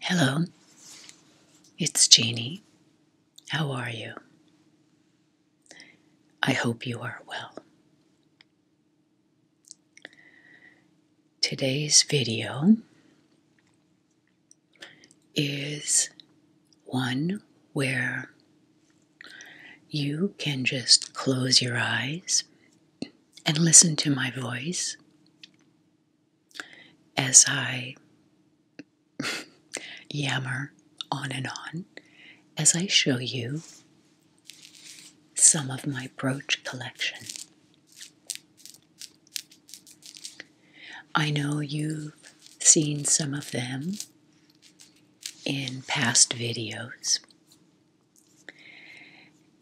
Hello, it's Jeannie. How are you? I hope you are well. Today's video is one where you can just close your eyes and listen to my voice as I yammer on and on as I show you some of my brooch collection. I know you've seen some of them in past videos,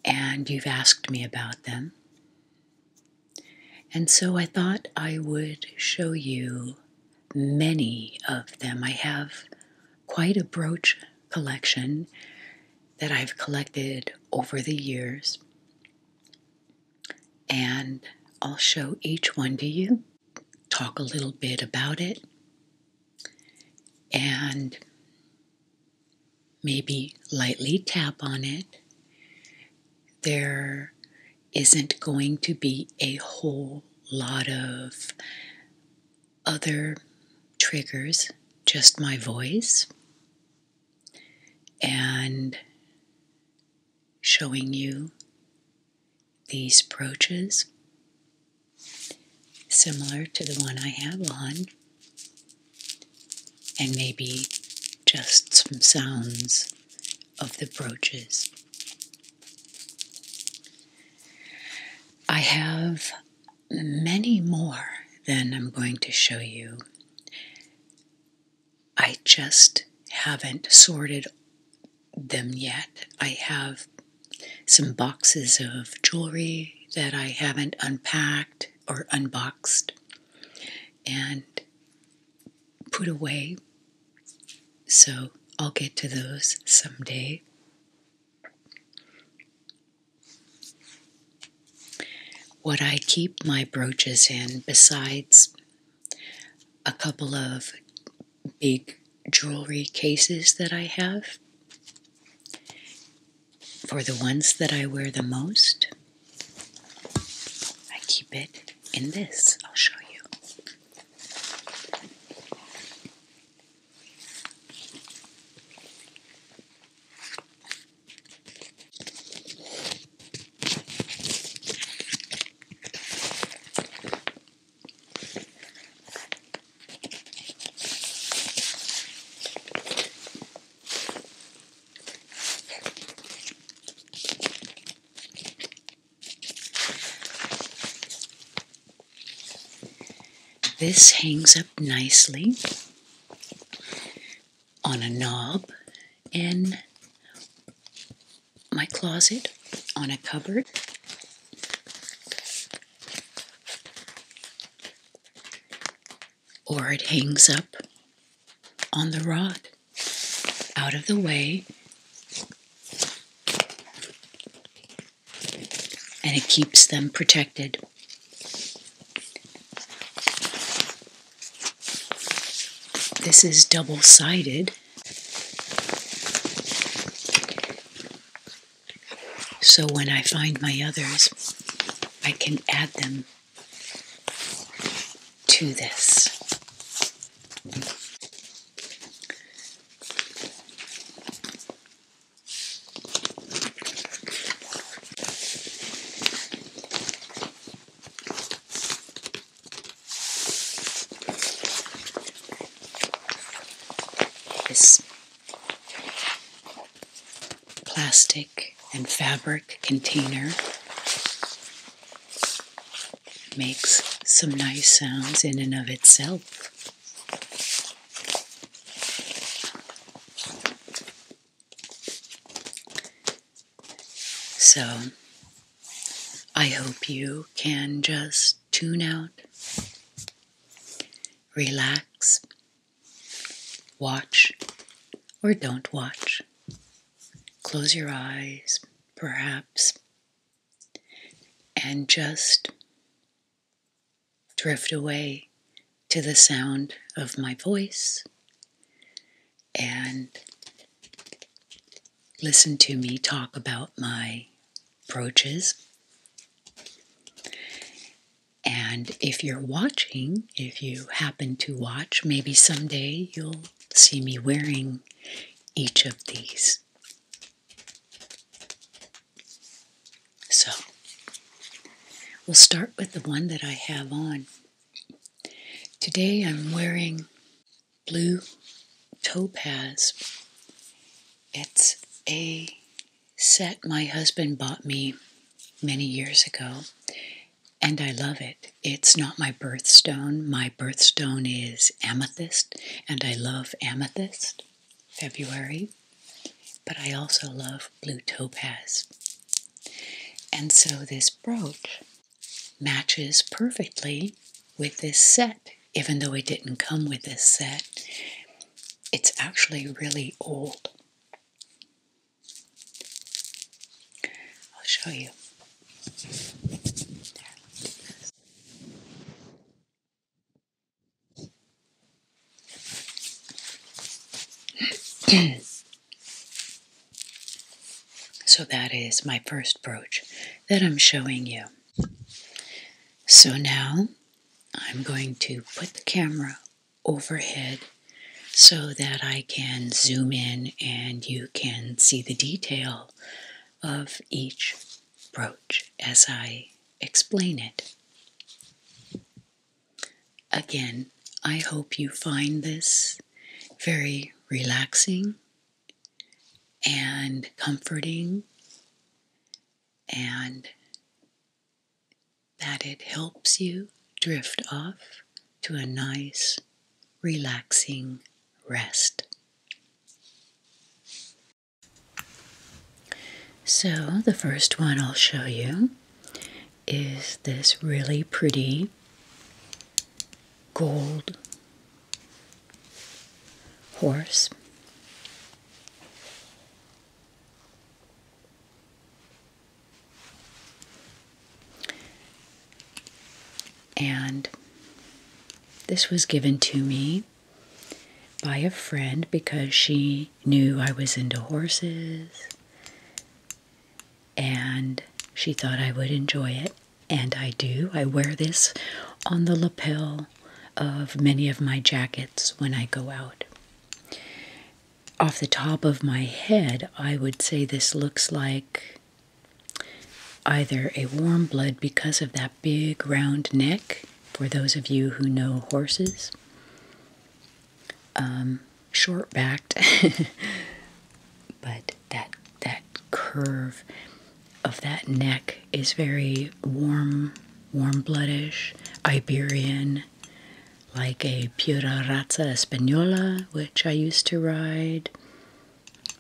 and you've asked me about them. And so I thought I would show you many of them. I have quite a brooch collection that I've collected over the years and I'll show each one to you, talk a little bit about it, and maybe lightly tap on it. There isn't going to be a whole lot of other triggers, just my voice and showing you these brooches similar to the one I have on and maybe just some sounds of the brooches. I have many more than I'm going to show you. I just haven't sorted them yet. I have some boxes of jewelry that I haven't unpacked or unboxed and put away. So I'll get to those someday. What I keep my brooches in, besides a couple of big jewelry cases that I have, for the ones that I wear the most, I keep it in this. I'll show you. This hangs up nicely on a knob in my closet on a cupboard. Or it hangs up on the rod out of the way. And it keeps them protected. This is double sided. So when I find my others, I can add them to this. This plastic and fabric container makes some nice sounds in and of itself. So, I hope you can just tune out, relax, watch, or don't watch. Close your eyes, perhaps, and just drift away to the sound of my voice and listen to me talk about my brooches. And if you're watching, if you happen to watch, maybe someday you'll see me wearing each of these. So, we'll start with the one that I have on. Today I'm wearing blue topaz. It's a set my husband bought me many years ago, and I love it. It's not my birthstone. My birthstone is amethyst, and I love amethyst, February, but I also love blue topaz. And so this brooch matches perfectly with this set, even though it didn't come with this set. It's actually really old. I'll show you. So that is my first brooch that I'm showing you. So now I'm going to put the camera overhead so that I can zoom in and you can see the detail of each brooch as I explain it. Again, I hope you find this very relaxing and comforting, and that it helps you drift off to a nice, relaxing rest. So, the first one I'll show you is this really pretty gold horse. And this was given to me by a friend because she knew I was into horses and she thought I would enjoy it, and I do. I wear this on the lapel of many of my jackets when I go out. Off the top of my head, I would say this looks like either a warm blood because of that big round neck, for those of you who know horses, um, short backed, but that that curve of that neck is very warm, warm bloodish, Iberian, like a pura raza española, which I used to ride,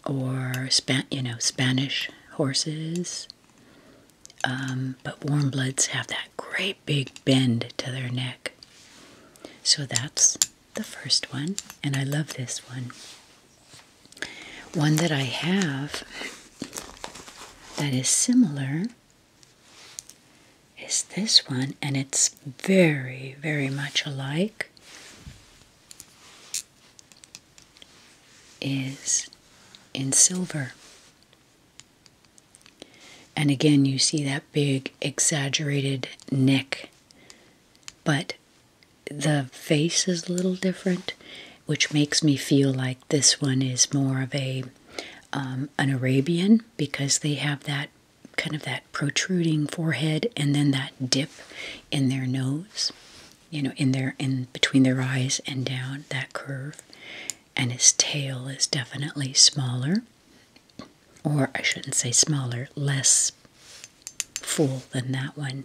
or Span you know Spanish horses. Um, but warm bloods have that great big bend to their neck. So that's the first one, and I love this one. One that I have that is similar is this one, and it's very, very much alike. Is in silver. And again, you see that big exaggerated neck, but the face is a little different, which makes me feel like this one is more of a um, an Arabian because they have that kind of that protruding forehead and then that dip in their nose, you know, in their in between their eyes and down that curve, and his tail is definitely smaller or I shouldn't say smaller, less full than that one.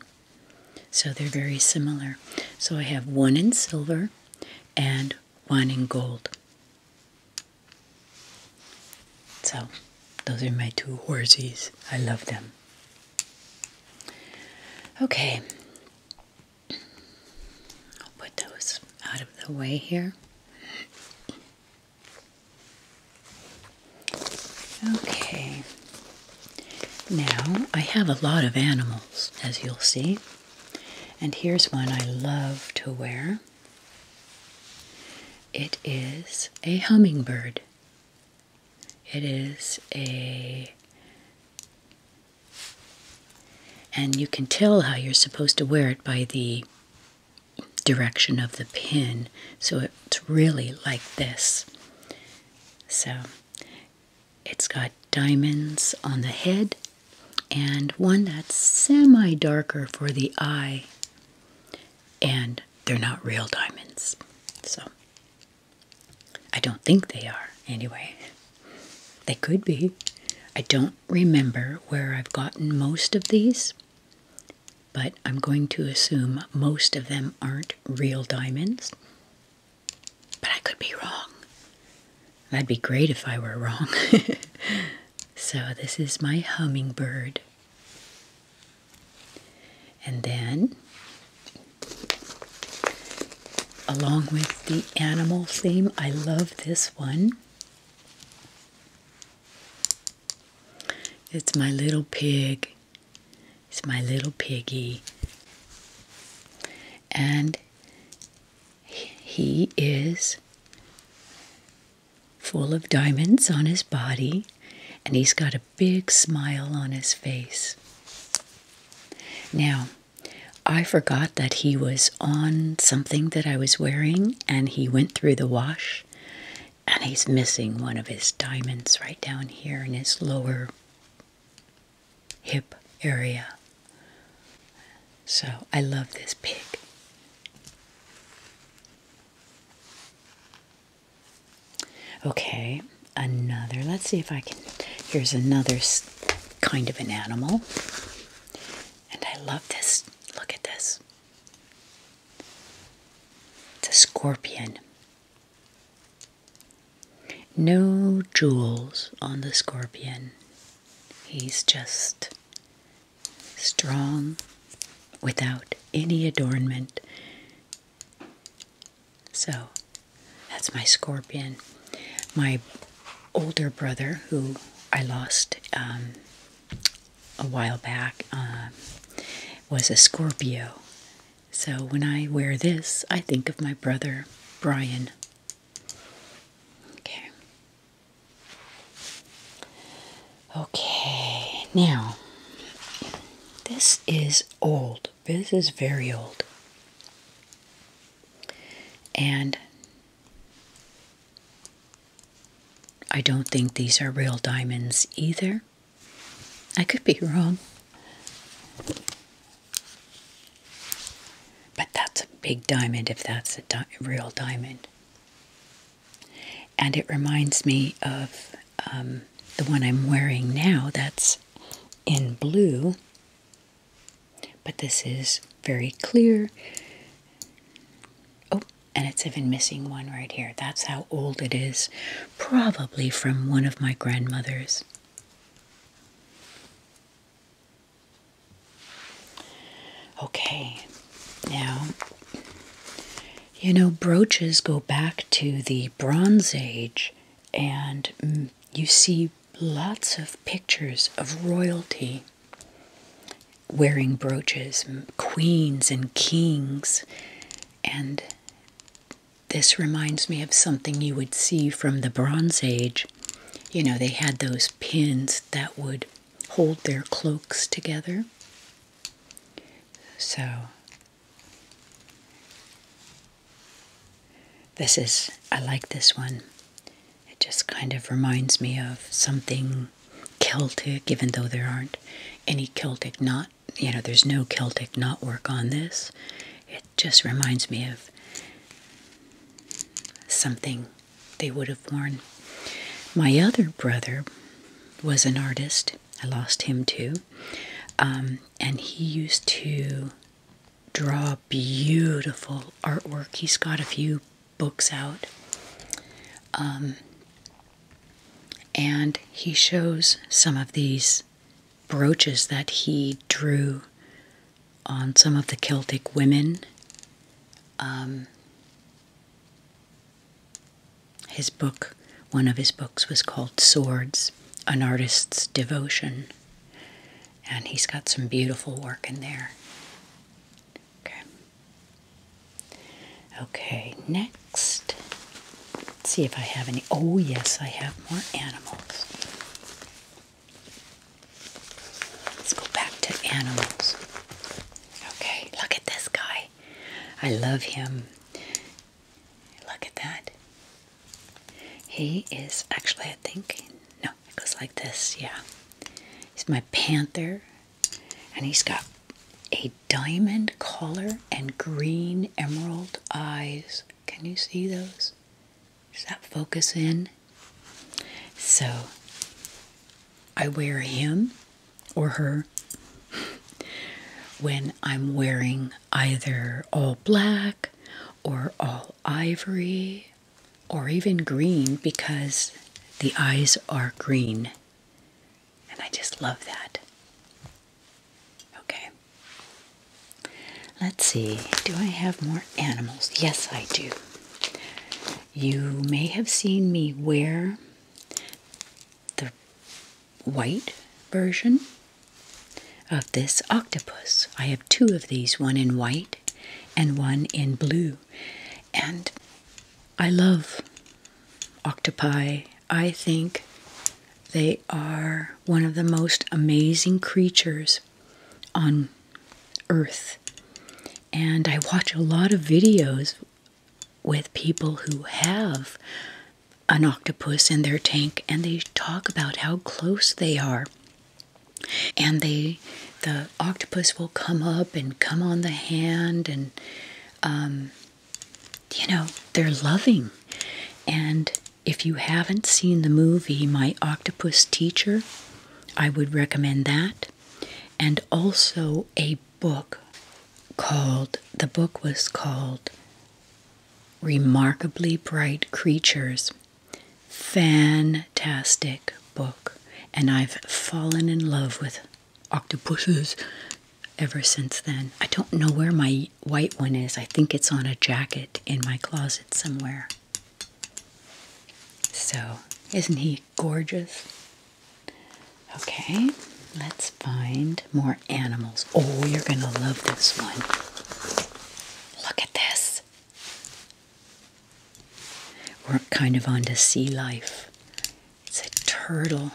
So they're very similar. So I have one in silver and one in gold. So those are my two horsies. I love them. Okay. I'll put those out of the way here. Okay. Now, I have a lot of animals, as you'll see. And here's one I love to wear. It is a hummingbird. It is a and you can tell how you're supposed to wear it by the direction of the pin. So it's really like this. So it's got diamonds on the head and one that's semi darker for the eye. And they're not real diamonds. So I don't think they are anyway. They could be. I don't remember where I've gotten most of these, but I'm going to assume most of them aren't real diamonds. But I could be wrong. That'd be great if I were wrong. so, this is my hummingbird. And then, along with the animal theme, I love this one. It's my little pig. It's my little piggy. And he is full of diamonds on his body, and he's got a big smile on his face. Now, I forgot that he was on something that I was wearing, and he went through the wash, and he's missing one of his diamonds right down here in his lower hip area. So I love this pig. Okay, another. Let's see if I can. Here's another kind of an animal. And I love this. Look at this. It's a scorpion. No jewels on the scorpion. He's just strong without any adornment. So that's my scorpion. My older brother, who I lost um, a while back um, was a Scorpio. So when I wear this, I think of my brother Brian. Okay. Okay, now this is old. This is very old. And I don't think these are real diamonds either. I could be wrong. But that's a big diamond if that's a real diamond. And it reminds me of um, the one I'm wearing now that's in blue. But this is very clear Oh, and it's even missing one right here. That's how old it is. Probably from one of my grandmothers. Okay, now, you know, brooches go back to the Bronze Age, and mm, you see lots of pictures of royalty wearing brooches, queens and kings. And this reminds me of something you would see from the Bronze Age. You know, they had those pins that would hold their cloaks together. So, this is, I like this one. It just kind of reminds me of something Celtic, even though there aren't any Celtic knot, you know, there's no Celtic knot work on this. It just reminds me of something they would have worn. My other brother was an artist. I lost him too. Um, and he used to draw beautiful artwork. He's got a few books out. Um, and he shows some of these brooches that he drew on some of the Celtic women. Um, his book, one of his books, was called Swords An Artist's Devotion. And he's got some beautiful work in there. Okay. Okay, next. Let's see if I have any. Oh, yes, I have more animals. Let's go back to animals. Okay, look at this guy. I love him. Look at that. He is actually, I think, no it goes like this, yeah. He's my panther, and he's got a diamond collar and green emerald eyes. Can you see those? Does that focus in? So I wear him or her when I'm wearing either all black or all ivory or even green because the eyes are green. And I just love that. Okay. Let's see. Do I have more animals? Yes, I do. You may have seen me wear the white version of this octopus. I have two of these, one in white and one in blue. And I love octopi. I think they are one of the most amazing creatures on earth. And I watch a lot of videos with people who have an octopus in their tank and they talk about how close they are and they the octopus will come up and come on the hand and um, you know they're loving and if you haven't seen the movie my octopus teacher i would recommend that and also a book called the book was called remarkably bright creatures fantastic book, and I've fallen in love with octopuses ever since then. I don't know where my white one is. I think it's on a jacket in my closet somewhere. So, isn't he gorgeous? Okay, let's find more animals. Oh, you're going to love this one. Look at this. We're kind of onto sea life. It's a turtle.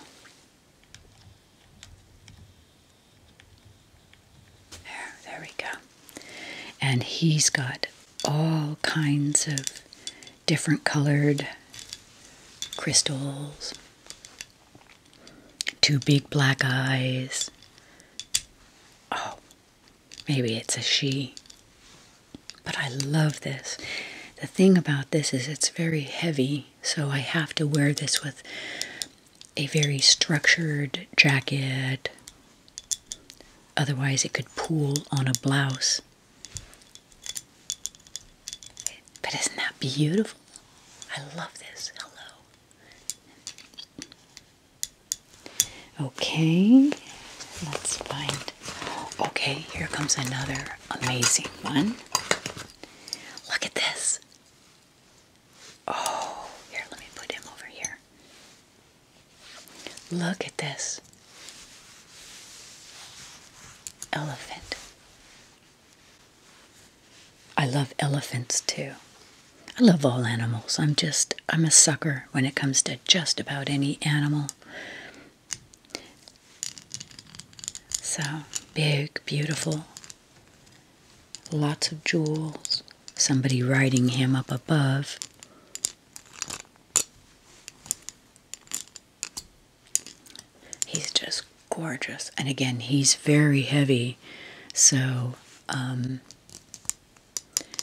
There, there we go. And he's got all kinds of different colored crystals, two big black eyes. Oh, Maybe it's a she. But I love this. The thing about this is it's very heavy, so I have to wear this with a very structured jacket. Otherwise, it could pool on a blouse. But isn't that beautiful? I love this. Hello. Okay, let's find. Okay, here comes another amazing one. Look at this. Oh, here, let me put him over here. Look at this elephant. I love elephants too. I love all animals. I'm just, I'm a sucker when it comes to just about any animal. So big, beautiful. Lots of jewels. Somebody riding him up above. He's just gorgeous. And again, he's very heavy. So, um,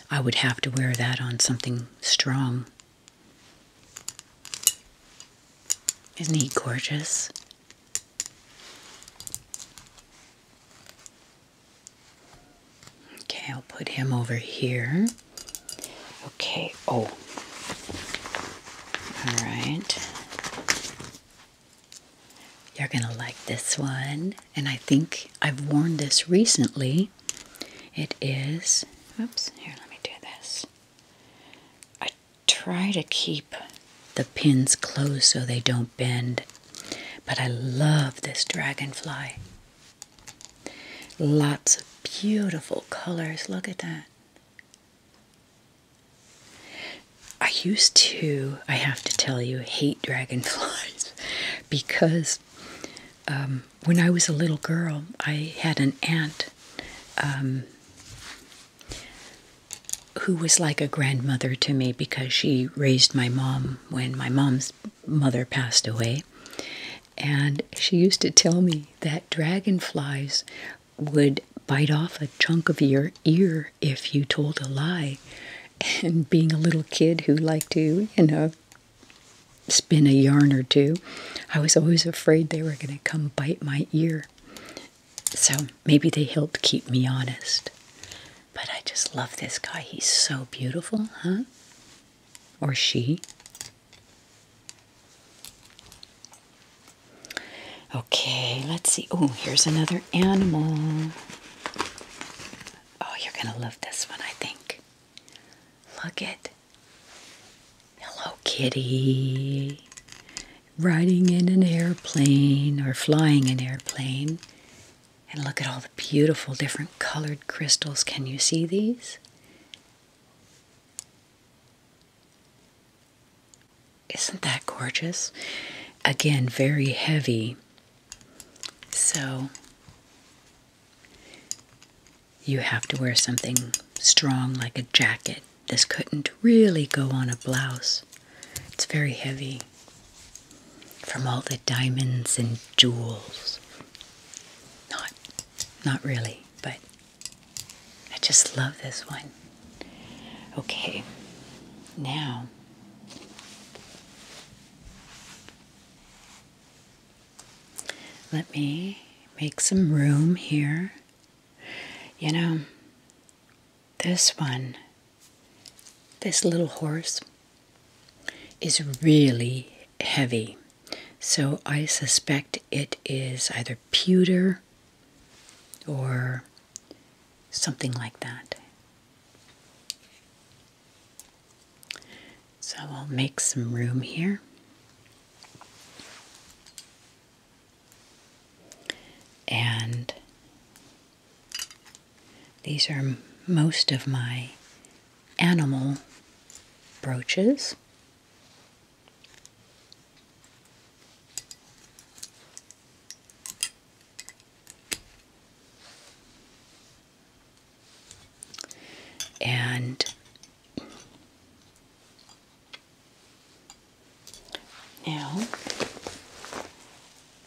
I would have to wear that on something strong. Isn't he gorgeous? Okay, I'll put him over here. Okay, oh. All right. You're going to like this one. And I think I've worn this recently it is, oops, here, let me do this. I try to keep the pins closed so they don't bend, but I love this dragonfly. Lots of beautiful colors. Look at that. I used to, I have to tell you, hate dragonflies because um, when I was a little girl, I had an aunt um, who was like a grandmother to me because she raised my mom when my mom's mother passed away. And she used to tell me that dragonflies would bite off a chunk of your ear if you told a lie. And being a little kid who liked to, you know, spin a yarn or two. I was always afraid they were going to come bite my ear. So maybe they helped keep me honest. But I just love this guy. He's so beautiful, huh? Or she. Okay, let's see. Oh, here's another animal. Oh, you're going to love this one, I think. Look at Hello Kitty riding in an airplane or flying an airplane. And look at all the beautiful different colored crystals. Can you see these? Isn't that gorgeous? Again, very heavy. So you have to wear something strong like a jacket. This couldn't really go on a blouse. It's very heavy from all the diamonds and jewels. Not not really, but I just love this one. Okay. Now let me make some room here. You know, this one, this little horse, is really heavy. So I suspect it is either pewter or something like that. So I'll make some room here. And these are most of my animal brooches. And now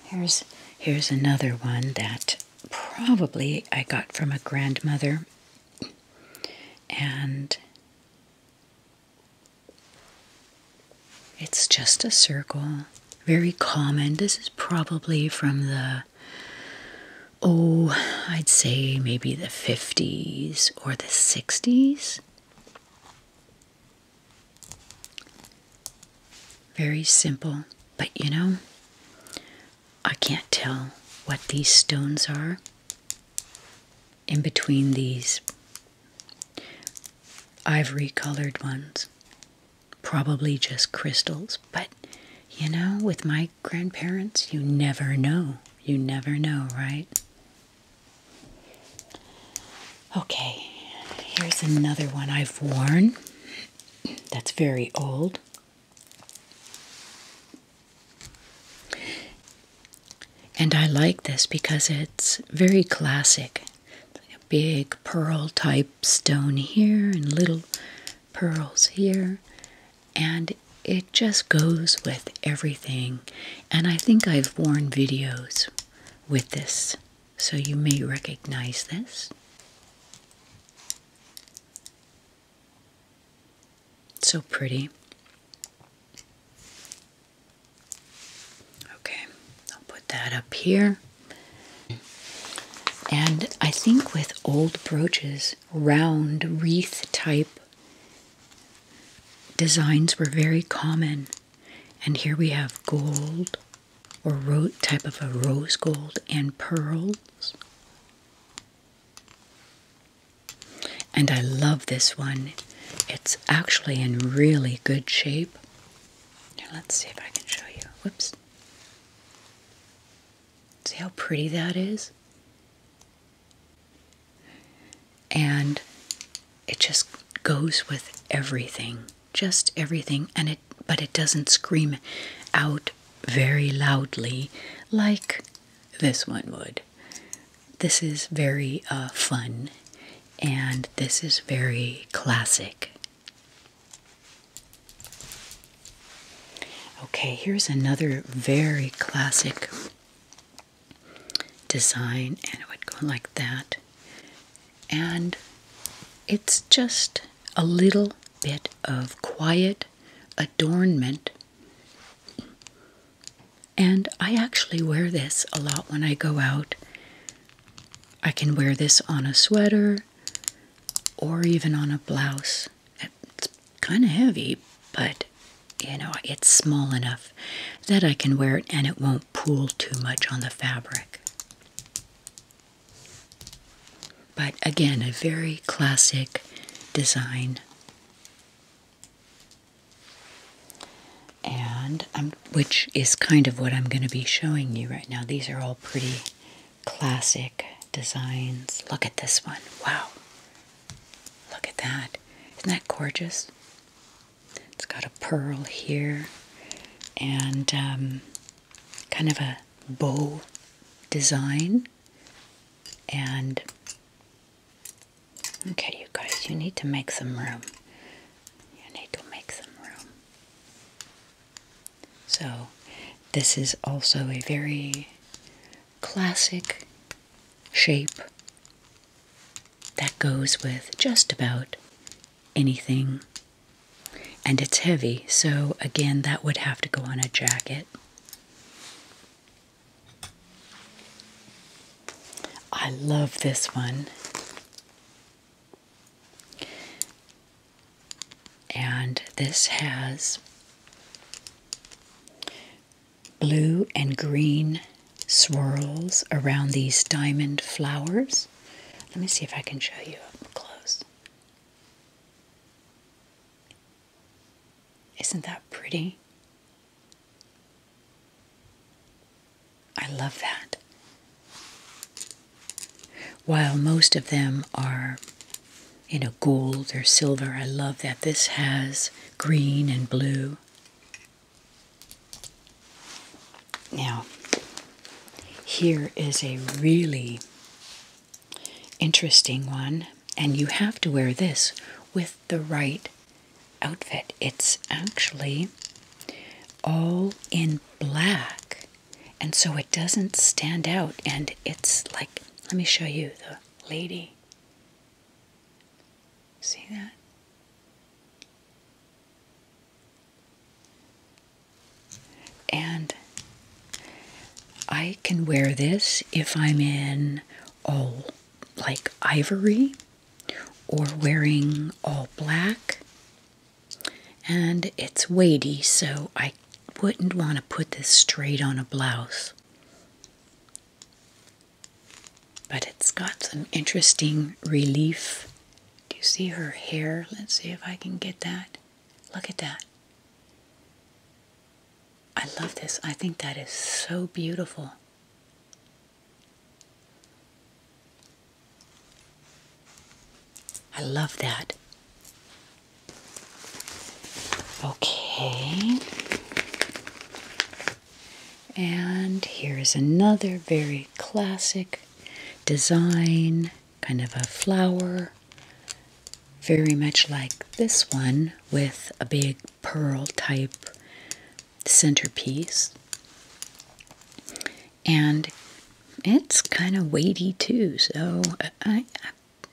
here's here's another one that probably I got from a grandmother and it's just a circle very common this is probably from the oh, I'd say maybe the 50s or the 60s. Very simple, but you know, I can't tell what these stones are. In between these ivory colored ones, Probably just crystals, but you know, with my grandparents, you never know. You never know, right? Okay, here's another one I've worn that's very old. And I like this because it's very classic. like a big pearl type stone here and little pearls here, and it just goes with everything. And I think I've worn videos with this, so you may recognize this. So pretty. Okay, I'll put that up here and I think with old brooches, round wreath type designs were very common. And here we have gold or ro type of a rose gold and pearls. And I love this one. It's actually in really good shape. Now let's see if I can show you. Whoops. See how pretty that is? And it just goes with everything, just everything, and it but it doesn't scream out very loudly like this one would. This is very uh, fun and this is very classic. Okay, here's another very classic design, and it would go like that. And it's just a little bit of quiet adornment. And I actually wear this a lot when I go out. I can wear this on a sweater or even on a blouse. It's kind of heavy, but you know, it's small enough that I can wear it and it won't pool too much on the fabric. But again, a very classic design. And i which is kind of what I'm going to be showing you right now. These are all pretty classic designs. Look at this one. Wow. Look at that. Isn't that gorgeous? It's got a pearl here and um, kind of a bow design. And okay, you guys, you need to make some room. You need to make some room. So, this is also a very classic shape that goes with just about anything. And it's heavy, so again, that would have to go on a jacket. I love this one. And this has blue and green swirls around these diamond flowers. Let me see if I can show you up close. Isn't that pretty? I love that. While most of them are, you know, gold or silver, I love that this has green and blue. Now, here is a really interesting one, and you have to wear this with the right outfit. It's actually all in black and so it doesn't stand out and it's like let me show you the lady see that and I can wear this if I'm in all like ivory or wearing all black and it's weighty, so I wouldn't want to put this straight on a blouse. But it's got some interesting relief. Do you see her hair? Let's see if I can get that. Look at that. I love this. I think that is so beautiful. I love that. Okay. And here is another very classic design, kind of a flower, very much like this one with a big pearl type centerpiece. And it's kind of weighty too, so I,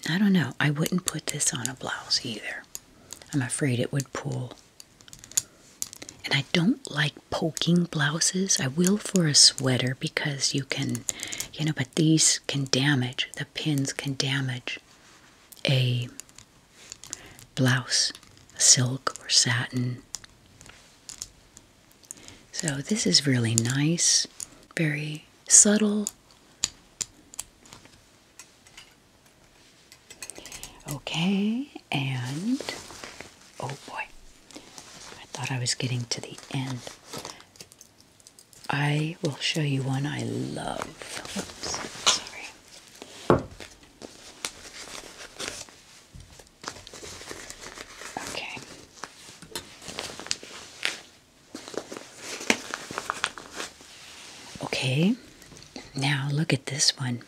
I don't know. I wouldn't put this on a blouse either. I'm afraid it would pull. And I don't like poking blouses. I will for a sweater because you can, you know, but these can damage, the pins can damage a blouse, silk or satin. So, this is really nice, very subtle. Okay, and oh boy, I thought I was getting to the end. I will show you one I love. Okay. Okay, now look at this one.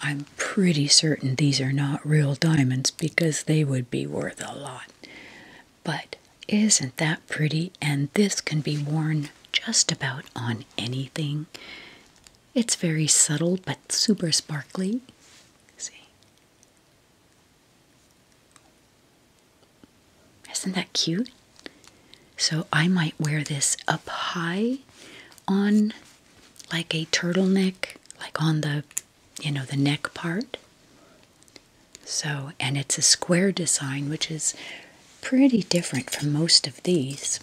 I'm pretty certain these are not real diamonds because they would be worth a lot. But isn't that pretty? And this can be worn just about on anything. It's very subtle but super sparkly. See? Isn't that cute? So I might wear this up high on like a turtleneck, like on the, you know, the neck part. So, and it's a square design, which is pretty different from most of these.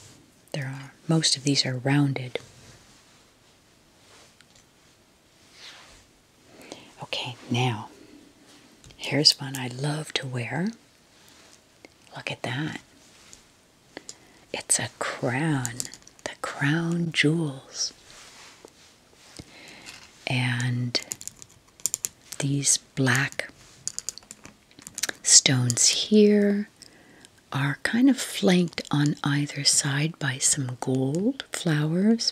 There are, most of these are rounded. Okay, now here's one I love to wear. Look at that. It's a crown, the crown jewels. And these black stones here are kind of flanked on either side by some gold flowers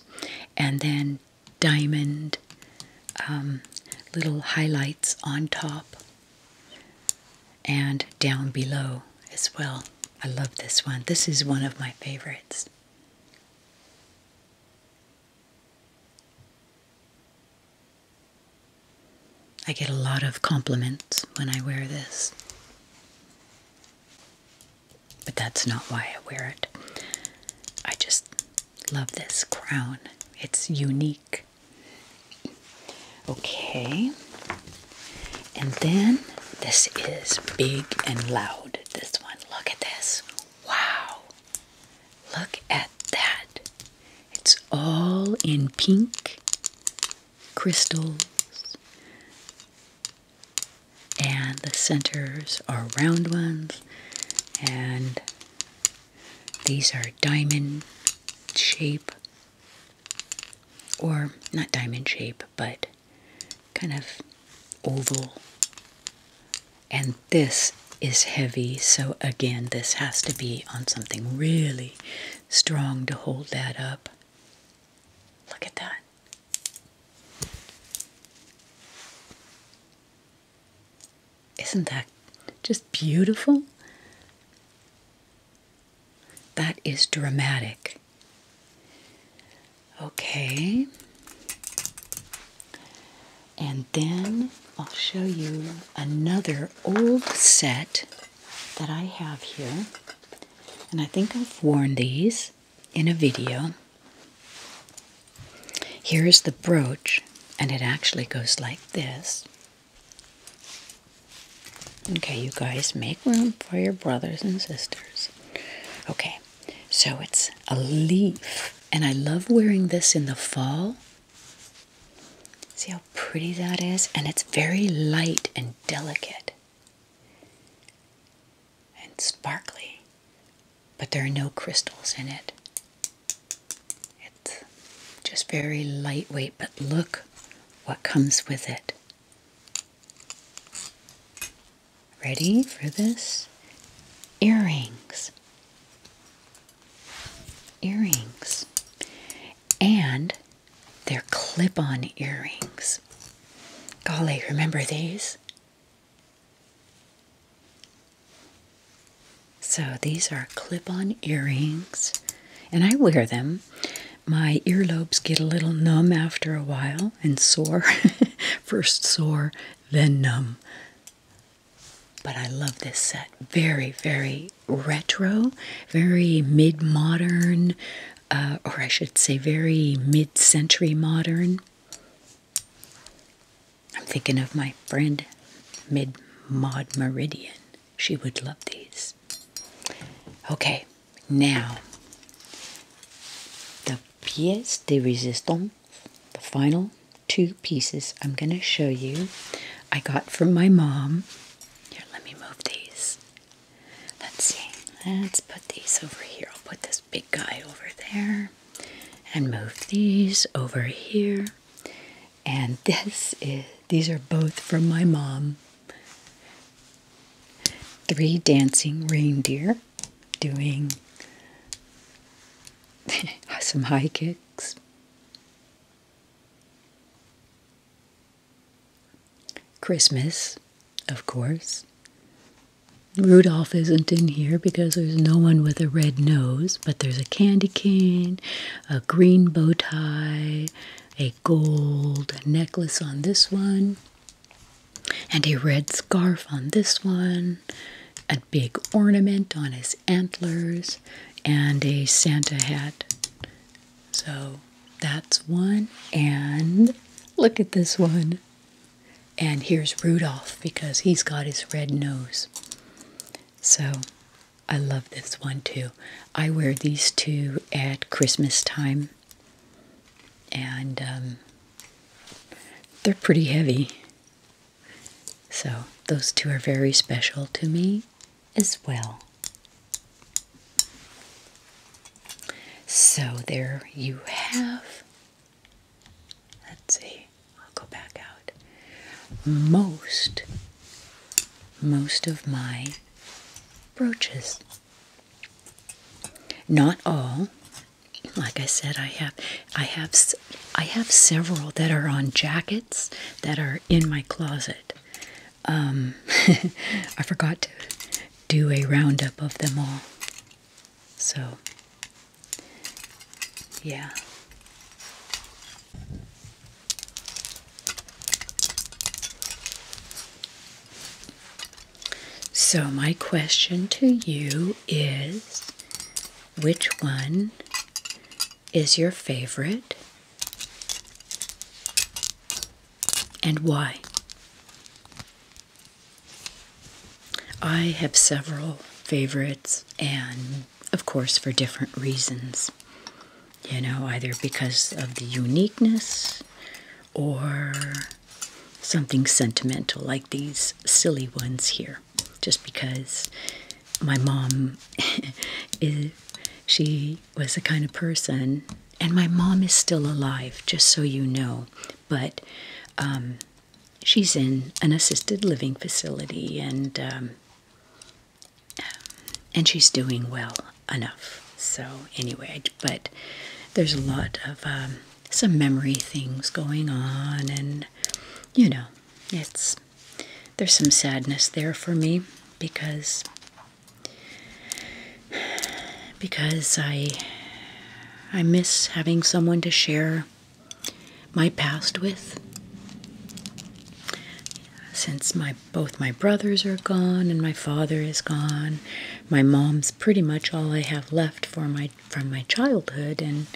and then diamond um, little highlights on top and down below as well. I love this one. This is one of my favorites. I get a lot of compliments when I wear this. But that's not why I wear it. I just love this crown. It's unique. Okay. And then this is big and loud. This one. Look at this. Wow. Look at that. It's all in pink crystals and the centers are round ones and these are diamond shape or not diamond shape but kind of oval and this is heavy so again this has to be on something really strong to hold that up look at that isn't that just beautiful? That is dramatic. Okay. And then I'll show you another old set that I have here. And I think I've worn these in a video. Here is the brooch, and it actually goes like this. Okay, you guys, make room for your brothers and sisters. Okay, so it's a leaf, and I love wearing this in the fall. See how pretty that is? And it's very light and delicate and sparkly, but there are no crystals in it. It's just very lightweight, but look what comes with it. Ready for this? Earrings. Earrings. And they're clip on earrings. Golly, remember these? So these are clip-on earrings, and I wear them. My earlobes get a little numb after a while and sore. First sore, then numb. But I love this set. Very, very retro, very mid-modern, uh, or I should say, very mid century modern. I'm thinking of my friend Mid Maud Meridian. She would love these. Okay, now the pièces de résistance, the final two pieces I'm going to show you, I got from my mom. Here, let me move these. Let's see. Let's put these over here. I'll put this big guy over there and move these over here. And this is these are both from my mom. Three dancing reindeer doing some high kicks. Christmas, of course. Rudolph isn't in here because there's no one with a red nose, but there's a candy cane, a green bow tie, a gold necklace on this one, and a red scarf on this one, a big ornament on his antlers, and a Santa hat. So that's one. And look at this one. And here's Rudolph because he's got his red nose. So I love this one too. I wear these two at Christmas time. And um, they're pretty heavy. So those two are very special to me as well. So there you have, let's see, I'll go back out. Most, most of my brooches. Not all. Like I said, I have, I have, I have several that are on jackets that are in my closet. Um, I forgot to do a roundup of them all. So, yeah. So, my question to you is which one is your favorite and why? I have several favorites, and of course, for different reasons. You know, either because of the uniqueness or something sentimental, like these silly ones here. Just because my mom is, she was the kind of person and my mom is still alive, just so you know, but um, she's in an assisted living facility, and um, and she's doing well enough. So anyway, but there's a lot of um, some memory things going on, and you know, it's there's some sadness there for me because because I I miss having someone to share my past with. Since my both my brothers are gone and my father is gone, my mom's pretty much all I have left for my from my childhood and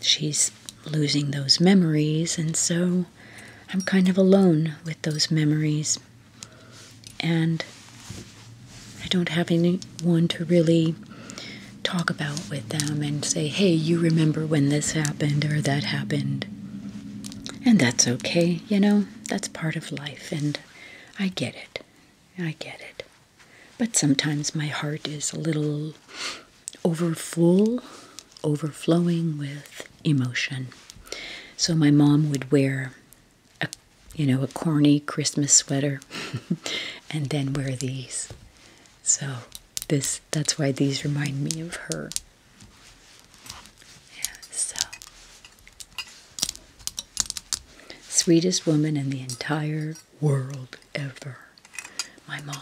she's losing those memories and so I'm kind of alone with those memories and I don't have anyone to really talk about with them and say, hey, you remember when this happened or that happened. And that's okay, you know, that's part of life, and I get it. I get it. But sometimes my heart is a little overfull, overflowing with emotion. So my mom would wear a, you know, a corny Christmas sweater and then wear these. So this that's why these remind me of her. Yeah, so sweetest woman in the entire world ever. My mom.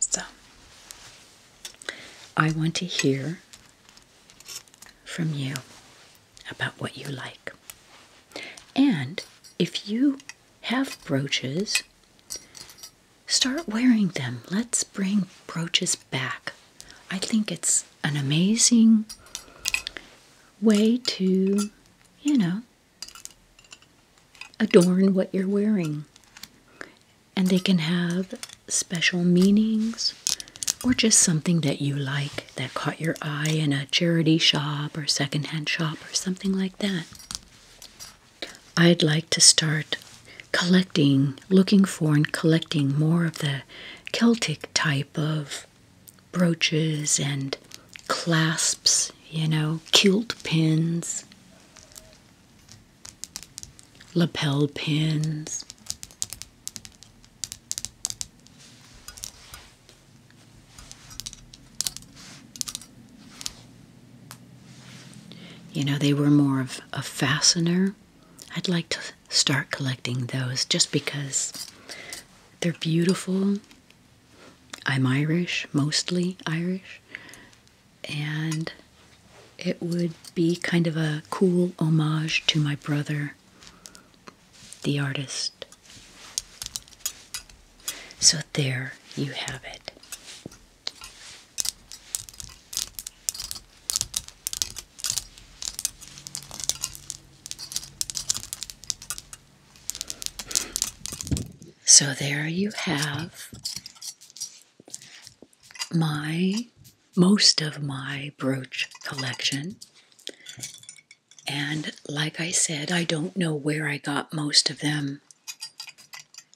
So I want to hear from you about what you like. And if you have brooches, start wearing them. Let's bring brooches back. I think it's an amazing way to, you know, adorn what you're wearing and they can have special meanings or just something that you like that caught your eye in a charity shop or second-hand shop or something like that. I'd like to start collecting, looking for, and collecting more of the Celtic type of brooches and clasps, you know, kilt pins lapel pins. You know, they were more of a fastener. I'd like to start collecting those just because they're beautiful. I'm Irish, mostly Irish, and it would be kind of a cool homage to my brother, the artist. So there you have it. So there you have my most of my brooch collection. And like I said, I don't know where I got most of them.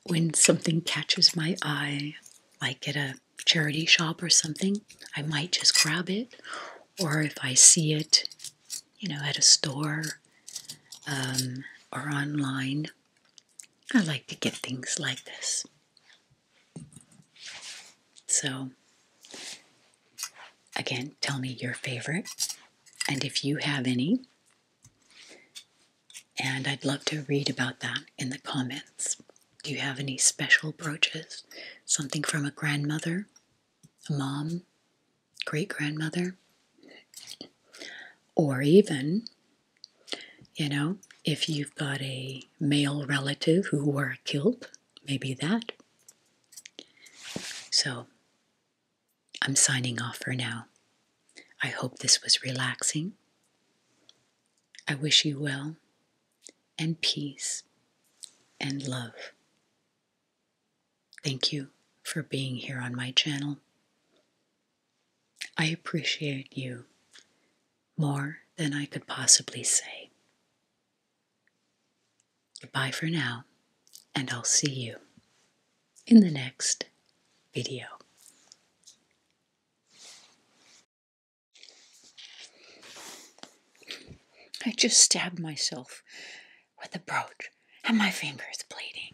When something catches my eye, like at a charity shop or something, I might just grab it. Or if I see it, you know, at a store um, or online, I like to get things like this. So, again, tell me your favorite and if you have any. And I'd love to read about that in the comments. Do you have any special brooches? Something from a grandmother, a mom, great grandmother? Or even you know, if you've got a male relative who wore a kilt, maybe that. So, I'm signing off for now. I hope this was relaxing. I wish you well, and peace, and love. Thank you for being here on my channel. I appreciate you more than I could possibly say. Goodbye for now, and I'll see you in the next video. I just stabbed myself with a brooch and my finger's bleeding.